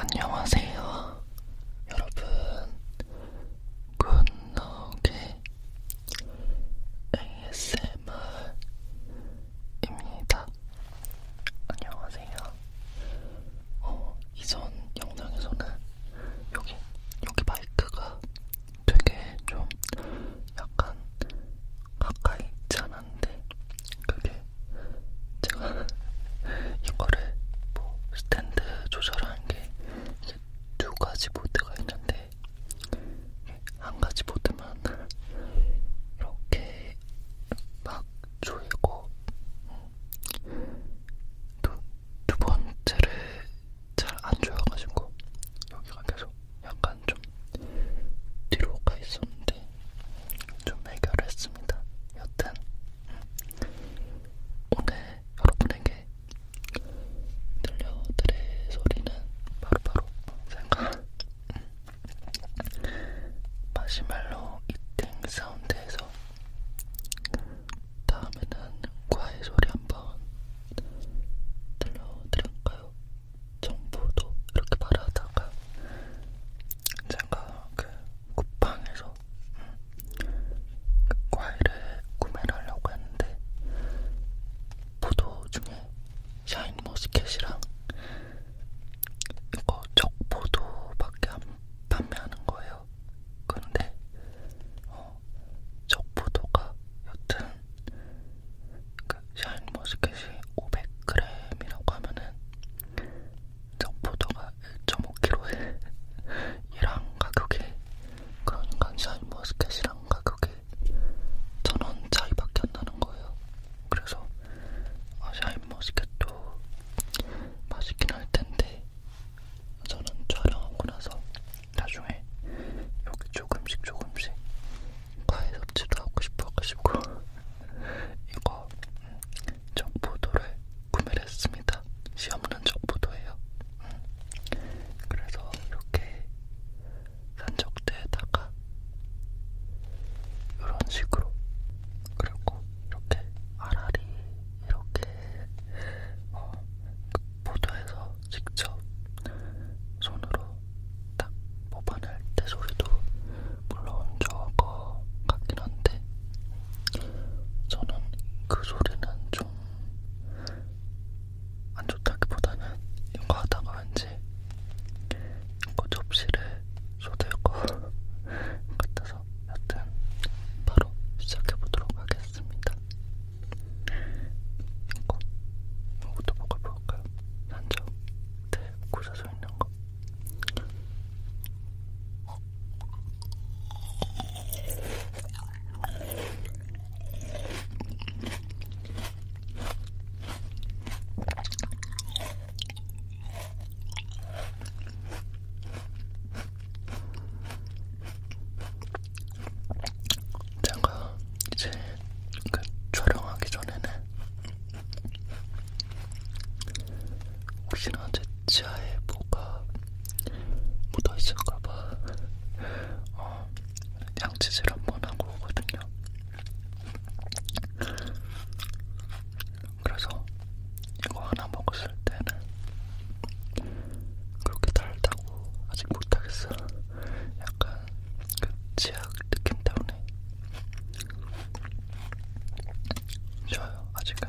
안녕하세요, 여러분. 굿노게 ASMR입니다. 안녕하세요. 어, 이전 영상에서는 여기, 여기 마이크가 되게 좀 약간 가까이 있지 않았는데, 그게 제가 이거를 뭐 스탠드 조절하는 게 이제 두 가지 모드가 있는데, 한 가지 모드만 이렇게 막 조이고 또두 번째를 잘 안 조여가지고 여기가 계속 약간 좀 뒤로 가 있었는데 좀 해결했습니다. 여튼 오늘 여러분에게 들려드릴 소리는 바로바로 바로 생각 마시멜로 이팅 사운드에서 다음에는 과일 소리 한번 들려드릴까요? 정보도 이렇게 말하다가 제가 그 쿠팡에서 그 음, 과일을 구매를 하려고 했는데 포도 중에 샤인 머스켓이랑 이거 적보도밖에 안 판매하는 거예요. 근데 어, 적보도가 여튼 그 샤인머스켓이 500g이라고 하면은 적보도가 1.5kg에 이랑 가격이 그러니까 샤인머스켓이랑 가격이 천원 차이밖에 안 나는 거예요. 그래서 아, 샤인머스켓도 맛있긴 할 텐데 저는 촬영하고 나서 나중에 여기 조금씩 조금씩 과일 섭취도 하고 싶어가지고 이거 음, 정보도를 구매를 했습니다. 시험은 정보도예요. 음. 그래서 이렇게 산적대에다가 이런 식으로 그리고 이렇게 아라리 이렇게 어, 보도에서 직접 손으로 딱 뽑아낼 때 소리도 물론 저거 같긴 한데 저는 그 소리는 좀 안 좋다기보다는 이거 하다가 왠지 이거 접시를 쏟을 것 같아서 여튼 바로 시작해보도록 하겠습니다. 이거, 이것도 먹어볼까요? 산적 대 고사서 있는 거. 제가 이제 그 촬영하기 전에는 혹시나 제 치아에 뭐가 묻어있을까봐 어, 양치질 한번 하고 오거든요. 그래서 이거 하나 먹었을 때는 그렇게 달다고 아직 못하겠어. 약간 그 치약 느낌 때문에 좋아요. 아직은.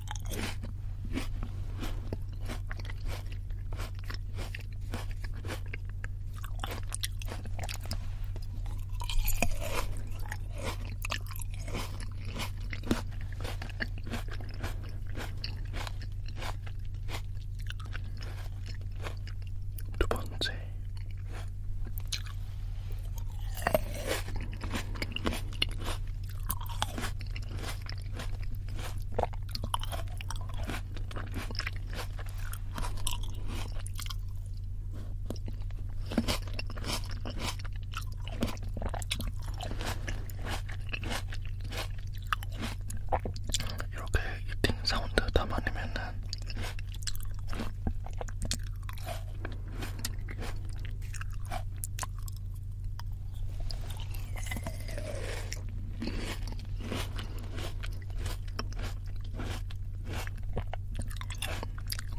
두 번째 이렇게 이팅 사운드 담아내면은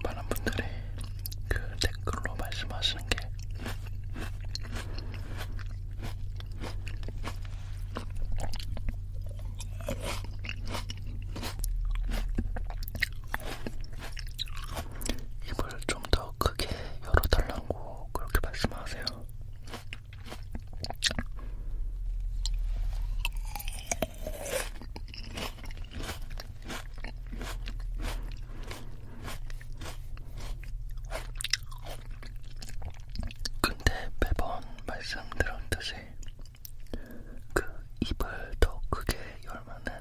많은 분들이 그 댓글로 말씀하시는 게 입을 좀 더 크게 열어달라고 그렇게 말씀하세요. 근데 매번 말씀드렸듯이 그 입을 더 크게 열면은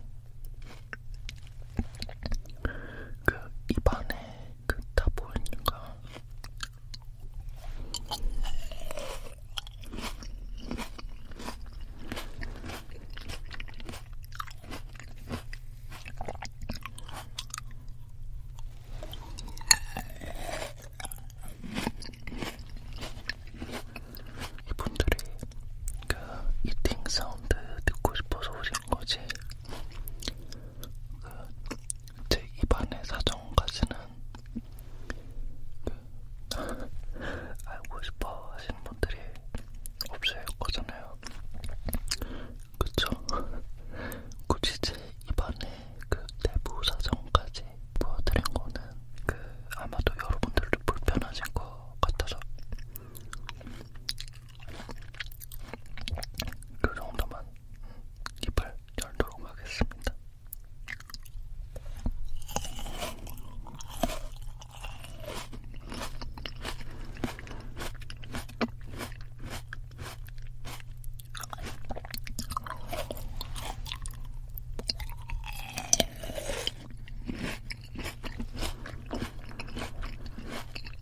그 입안에 그다 보이니까 이분들이 그 이팅 사운드 듣고 싶어서 오신 거지. 그제 입안의 사정까지는 그, 그 알고 싶어 하시는 분들이 없을 거잖아요. 그쵸? 굳이 제 입안의 그 내부 사정까지 보여드린 거는 그 아마도 여러분들도 불편하신 것 같아서 그 정도만 입을 열도록 하겠습니다.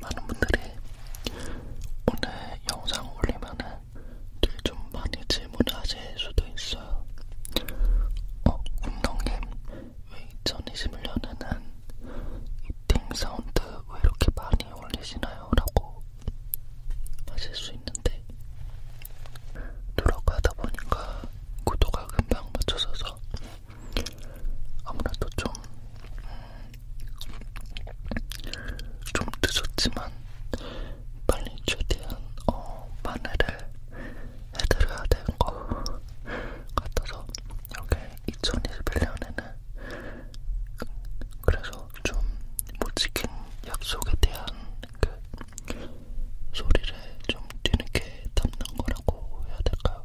많은 분들이 오늘 영상 올리면은 좀 많이 질문을 하실 수도 있어요. 어, 운동님, 왜 2021년에는 이팅 사운드 왜 이렇게 많이 올리시나요? 라고 하실 수 있는데, 노력하다 보니까 구도가 금방 맞춰져서 아무래도 좀 음, 좀 늦었지만 빨리 최대한 어, 만회를 해드려야 되는 것 같아서 이렇게 2021년에는 그래서 좀못 지킨 약속에 대한 그 소리를 좀 뒤늦게 담는 거라고 해야 될까요?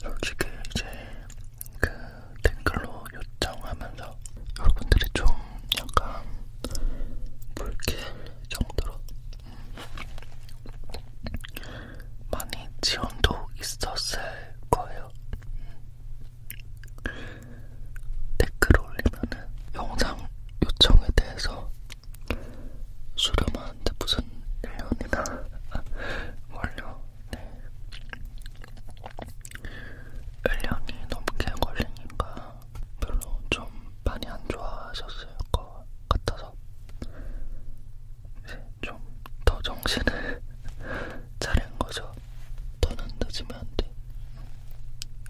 솔직히 이제 그 댓글로 요청하면서 여러분들이 좀 약간 불길 정도로 많이 지원도 있었을 거예요. 댓글 올리면은 영상 요청에 대해서 수렴한데 무슨 1년이나 걸려. 네. 1년이 넘게 걸리니까 별로 좀 많이 안 좋아하셨을 것 같아서 있어서 좀더 정신을 차린 거죠. 더는 늦으면 안 돼.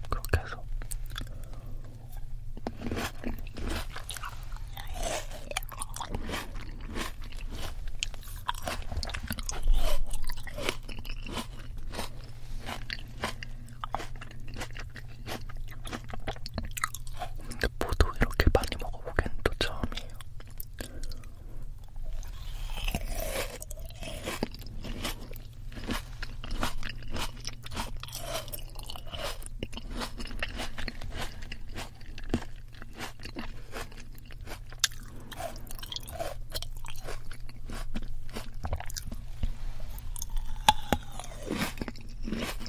그렇게 해서. 근데 포도 이렇게 많이 먹어보긴 또 처음이에요.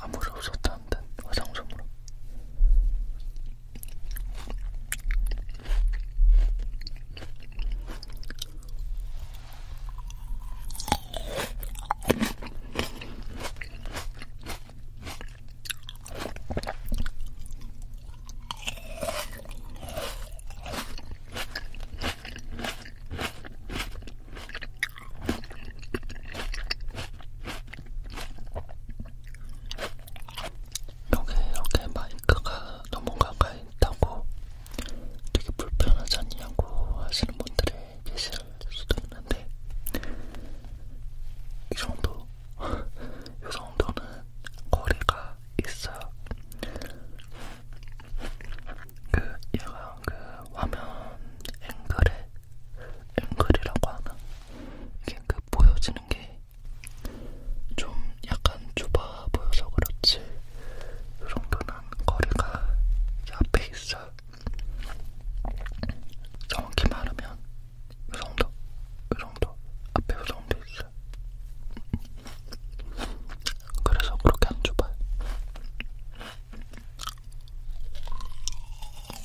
아무리 없었다는 듯 화장솜으로 여기 이렇게 마이크가 너무 가까이 있다고 되게 불편하지 않냐고 하시는 분들이 계실 수도 있는데 이 정도, 이 정도는 거리가 있어요. 그 얘가 그 화면 앵글에 앵글이라고 하나? 이게 그 보여지는 게 좀 약간 좁아 보여서 그렇지 이 정도는 거리가 이 앞에 있어 정확히 말하면 이 정도 이 정도 앞에 이 정도 있어 그래서 그렇게 안 좁아요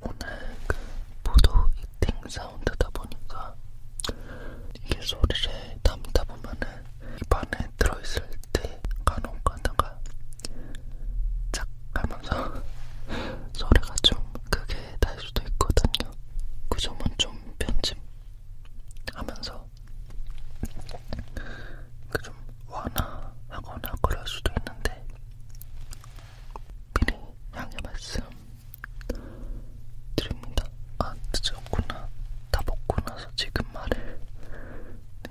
오늘 그 포도 이팅 사운드다 보니까 이게 소리를 담다 보면은 입안에 들어있을 때 간혹 가다가 짝 하면서 소리가 좀 크게 날 수도 있거든요. 그 점은 좀 편집하면서 그 좀 완화하거나 그럴 수도 있는데 미리 양해 말씀 드립니다. 아, 늦었구나. 다 먹고 나서 지금 말을. 네.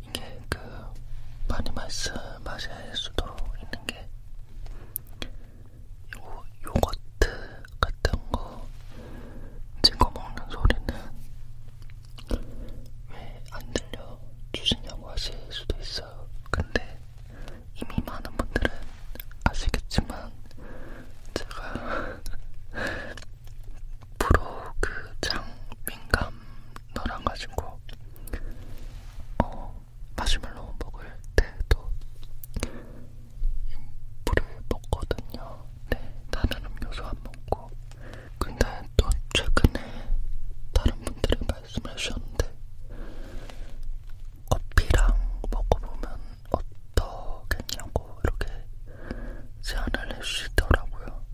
이게 그 많이 말씀하실 수도 있는 게 요, 요거트 같은 거 찍어 먹는 소리는 왜 안 들려 주시냐고 하실 수도 있어요. 근데 이미 많은 분들은 아시겠지만 제가 프로 그장 민감 너랑 가지고 어 마시멜로 먹을 때도 물을 먹거든요. 네, 다른 음료수 안 먹고. 근데 또 최근에 다른 분들이 말씀해 주셨는데 커피랑 먹어보면 어떻겠냐고 이렇게 제안을 해주시더라고요.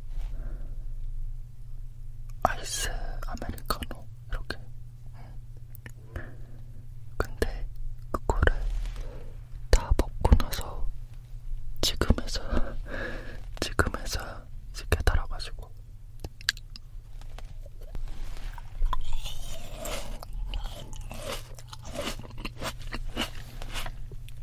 아이스 아메리카노 이렇게. 근데 그거를 다 먹고 나서 지금에서 지금에서 이제 깨달아가지고.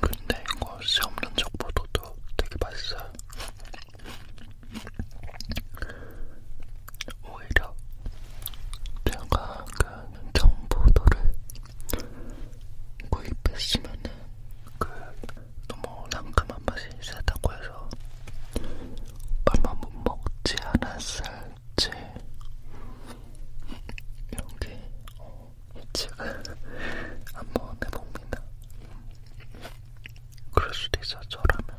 근데 이거 씨 없는 적보다도 되게 맛있어요. 오히려 제가 그 청포도를 구입했으면은 그 너무 랑큼한 맛이 세다고 해서 얼마 못 먹지 않았을 제 여기 어, 이책을 한번 해봅니다. 그럴 수도 있어 저라면.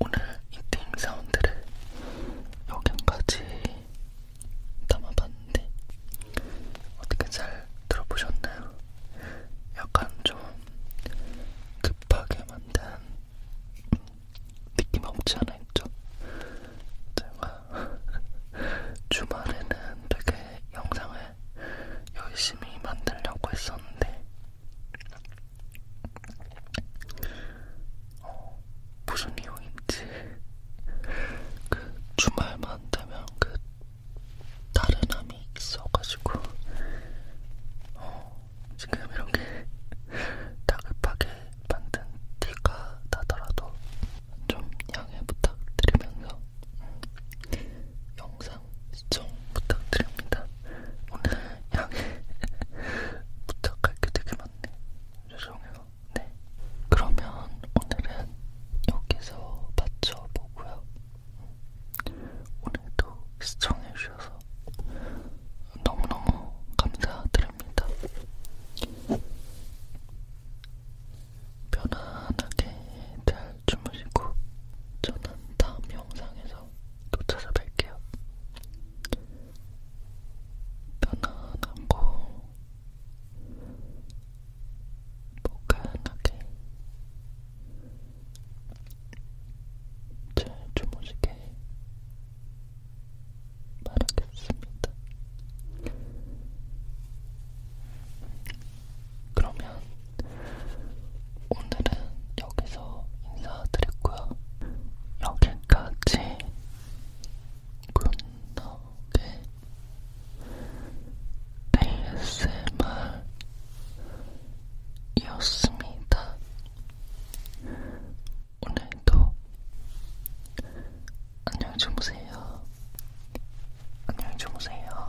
오늘 이팅 사운드를 여기까지 담아봤는데 어떻게 잘 들어보셨나요? 약간 좀 급하게 만든 느낌 없지 않아 있죠? 제가 주말에는 되게 영상을 열심히 만들려고 했었는데 어, 무슨 이유인지 그 주말만 되면 그 다른 암이 있어가지고 어, 지금 이렇게 다급하게 만든 티가 나더라도 좀 양해 부탁드리면서 음, 영상 영상 시청 부탁드립니다. 오늘 양해 부탁할 게 되게 많네. 죄송해요. 네. 그러면 오늘은 여기서 마쳐보고요. 오늘도 시청해주셔서 너무너무 감사드립니다. 편안하게 잘 주무시고 저는 다음 영상에서 또 찾아뵐게요. 편안하고 포근하게 잘 주무시게 바라겠습니다. 그러면 오늘은 여기서 인사드렸고요. 여기까지 굿나게 ASMR이었습니다. 오늘도 안녕히 주무세요. 안녕히 주무세요.